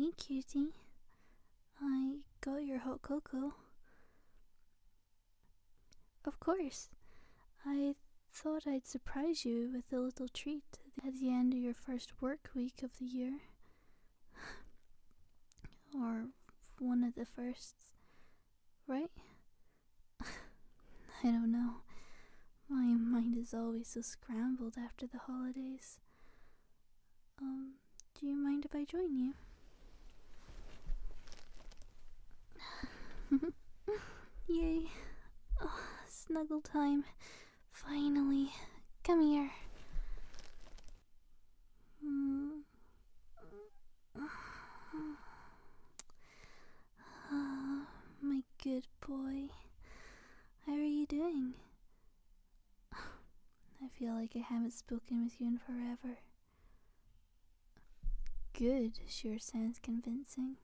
Hey, cutie. I got your hot cocoa. Of course. I thought I'd surprise you with a little treat at the end of your first work week of the year, or one of the firsts, right? I don't know. My mind is always so scrambled after the holidays. Um, do you mind if I join you? Yay. snuggle time. Finally, come here. my good boy. How are you doing? I feel like I haven't spoken with you in forever. Good, sure sounds convincing.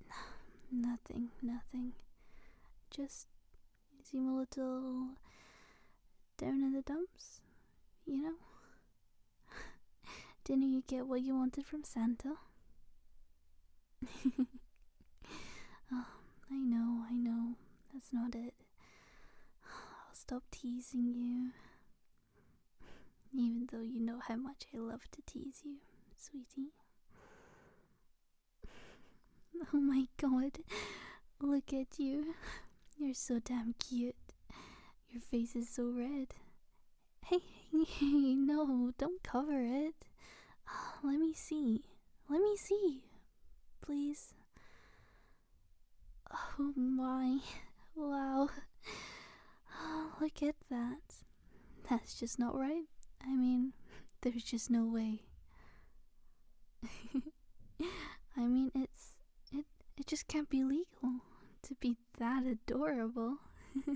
nothing, nothing. Just seem a little down in the dumps, you know? Didn't you get what you wanted from Santa? Oh, I know, I know. That's not it. I'll stop teasing you. Even though you know how much I love to tease you, sweetie. Oh my god, look at you. You're so damn cute. Your face is so red. Hey, hey, no, don't cover it. Let me see. Let me see. Please. Oh my. Wow. Look at that. That's just not right. I mean, there's just no way. I mean, it's it it just can't be legal to be that adorable.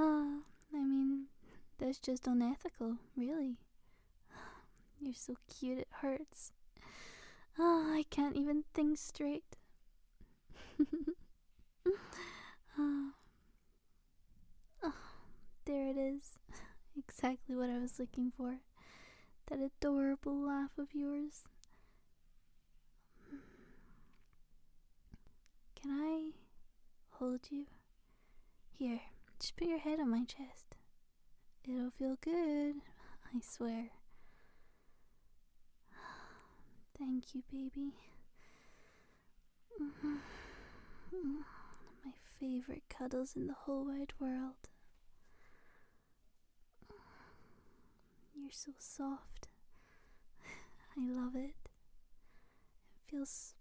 uh, I mean, that's just unethical, really. You're so cute it hurts. Oh, ah, I can't even think straight. uh, Oh, there it is. Exactly what I was looking for. That adorable laugh of yours. Can I hold you? Here, just put your head on my chest. It'll feel good, I swear. Thank you, baby. Mm-hmm. My favorite cuddles in the whole wide world. You're so soft. I love it. It feels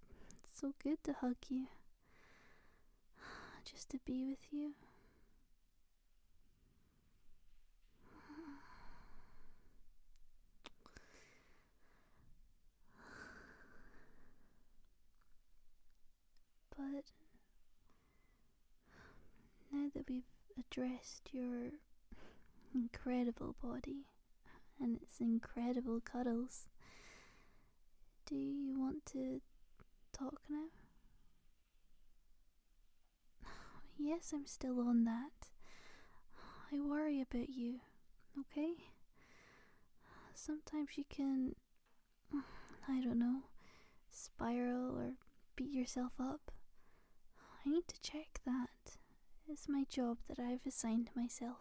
so good to hug you. Just to be with you. But now that we've addressed your incredible body and its incredible cuddles, do you want to talk now? Yes, I'm still on that. I worry about you okay? Sometimes you can, I don't know, spiral or beat yourself up. I need to check that. It's my job that I've assigned myself.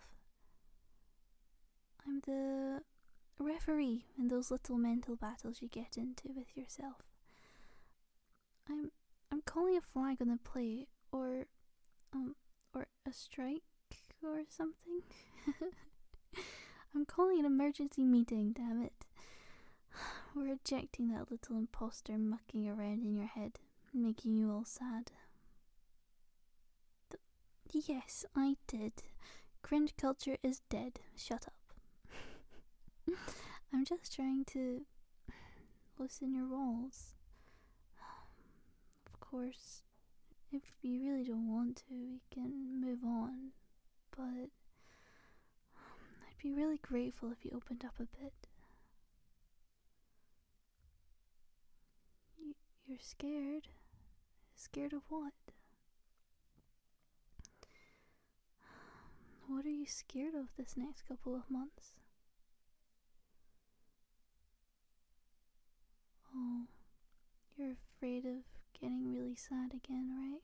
I'm the referee in those little mental battles you get into with yourself. I'm I'm calling a flag on the play or um or a strike or something. I'm calling an emergency meeting, damn it. We're ejecting that little impostor mucking around in your head, making you all sad. yes, I did. Cringe culture is dead. Shut up. I'm just trying to loosen your walls. of course, if you really don't want to, we can move on. But um, I'd be really grateful if you opened up a bit. you're scared? Scared of what? What are you scared of this next couple of months? Oh, you're afraid of getting really sad again, right?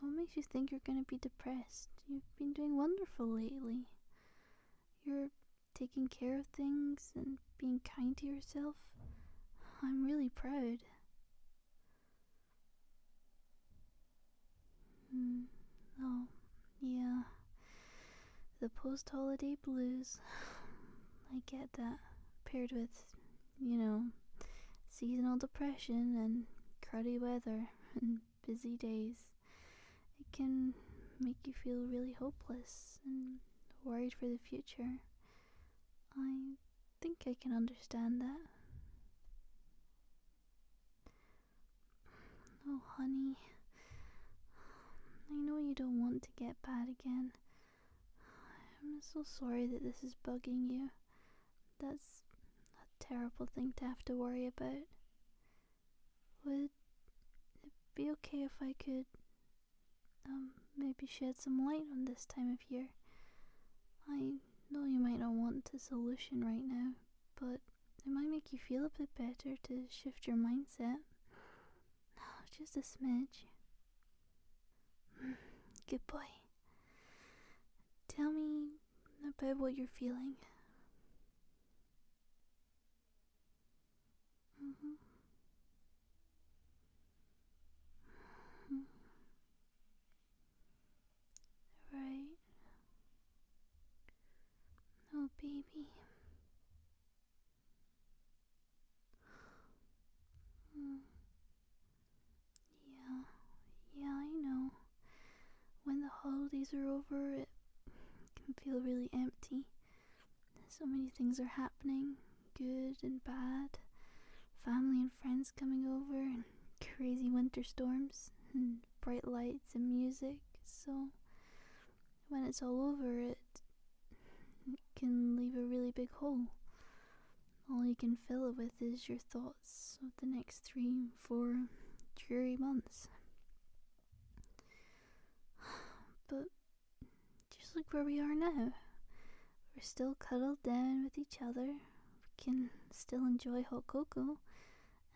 What makes you think you're gonna be depressed? You've been doing wonderful lately. You're taking care of things and being kind to yourself. I'm really proud. Mm, oh, yeah. The post holiday blues. I get that. Paired with, you know, seasonal depression and cruddy weather and busy days. It can make you feel really hopeless and worried for the future. I think I can understand that. Oh, honey. I know you don't want to get bad again. I'm so sorry that this is bugging you. That's a terrible thing to have to worry about. Would it be okay if I could, um, maybe shed some light on this time of year? I know you might not want a solution right now, but it might make you feel a bit better to shift your mindset. Oh, just a smidge. Good boy. Tell me about what you're feeling. Mm-hmm. Right. Oh, baby. Hmm. Yeah, yeah, I know. When the holidays are over, it can feel really empty. So many things are happening good and bad. Family and friends coming over, and crazy winter storms, bright lights and music, so when it's all over, it can leave a really big hole. All you can fill it with is your thoughts of the next three, four dreary months. But just like where we are now. We're still cuddled down with each other. We can still enjoy hot cocoa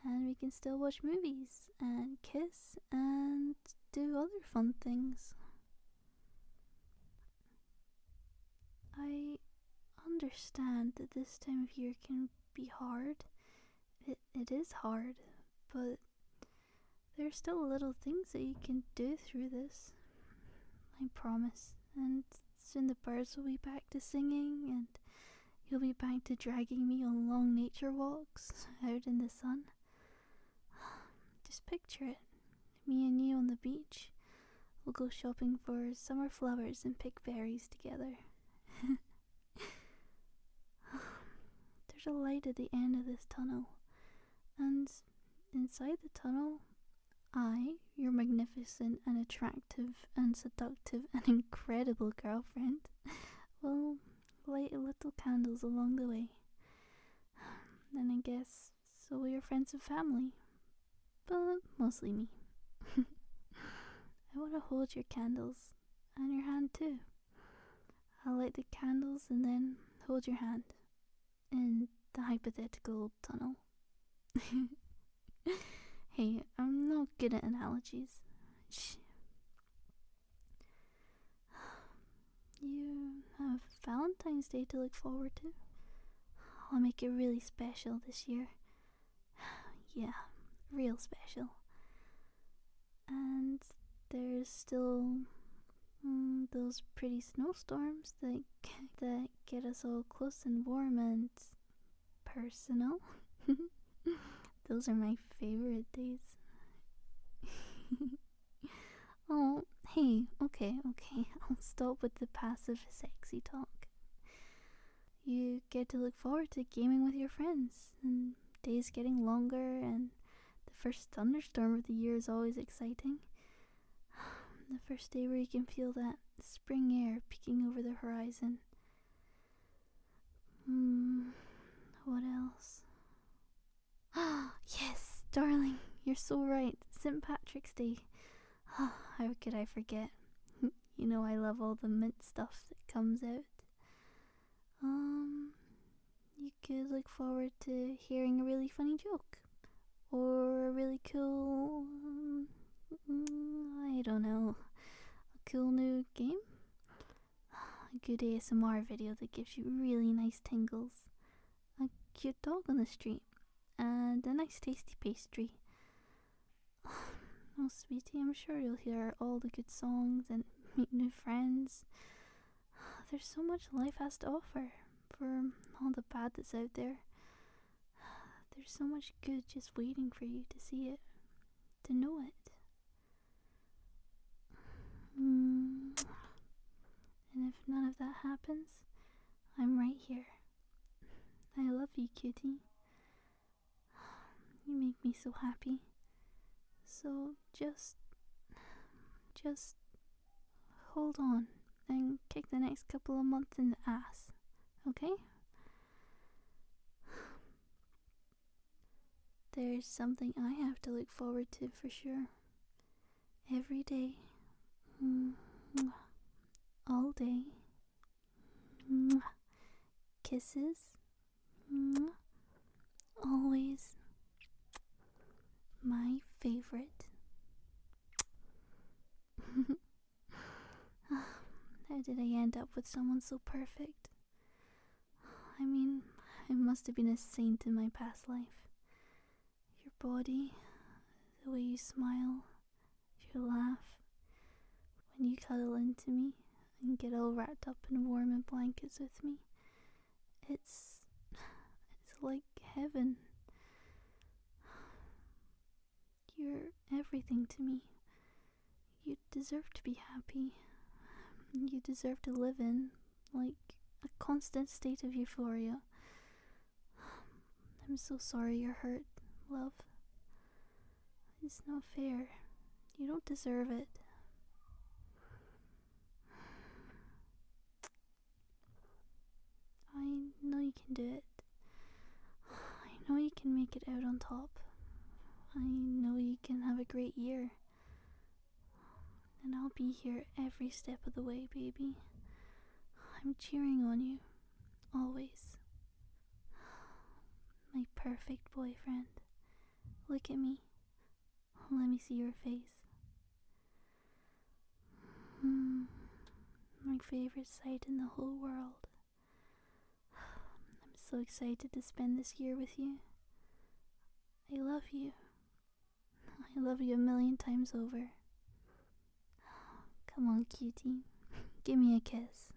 and we can still watch movies and kiss and do other fun things. I understand that this time of year can be hard. It, it is hard, but there are still little things that you can do through this. I promise. And soon the birds will be back to singing, and You'll be back to dragging me on long nature walks out in the sun. Just picture it. Me and you on the beach. We'll go shopping for summer flowers and pick berries together. There's a light at the end of this tunnel. And inside the tunnel, I, your magnificent and attractive and seductive and incredible girlfriend, Well, will light little candles along the way. Then I guess so will your friends and family, but mostly me. I want to hold your candles and your hand too. I'll light the candles and then hold your hand in the hypothetical tunnel. hey, I'm not good at analogies. Shh. You have Valentine's Day to look forward to. I'll make it really special this year. Yeah, real special. And there's still mm, those pretty snowstorms that that get us all close and warm and personal. Those are my favorite days. oh, hey, okay, okay. I'll stop with the passive sexy talk. You get to look forward to gaming with your friends, and days getting longer, and the first thunderstorm of the year is always exciting. The first day where you can feel that spring air peeking over the horizon. Hmm, what else? Ah, yes, darling, you're so right. St. Patrick's Day. how could I forget? you know I love all the mint stuff that comes out. Um, you could look forward to hearing a really funny joke, or a really cool. Mm, I don't know, a cool new game a good ASMR video that gives you really nice tingles, a cute dog on the street, and a nice tasty pastry. Oh, sweetie, I'm sure you'll hear all the good songs and meet new friends. There's so much life has to offer for all the bad that's out there. There's so much good just waiting for you to see it, to know it. Hmm. And if none of that happens, I'm right here. I love you, kitty. You make me so happy. So just. just. hold on and kick the next couple of months in the ass, okay? There's something I have to look forward to for sure. Every day. Mm-hmm. All day. Mm-hmm. Kisses. Mm-hmm. Always. My favorite. How did I end up with someone so perfect? I mean, I must have been a saint in my past life. Your body, the way you smile, you laugh, when you cuddle into me and get all wrapped up in warm and blankets with me, it's. it's like heaven. You're everything to me. You deserve to be happy. You deserve to live in, like, a constant state of euphoria. I'm so sorry you're hurt, love. It's no fair. You don't deserve it. I know you can do it. I know you can make it out on top. I know you can have a great year. And I'll be here every step of the way, baby. I'm cheering on you. Always. My perfect boyfriend. Look at me. Let me see your face. Hmm. my favorite sight in the whole world. I'm so excited to spend this year with you. I love you. I love you a million times over. Come on, cutie. Give me a kiss.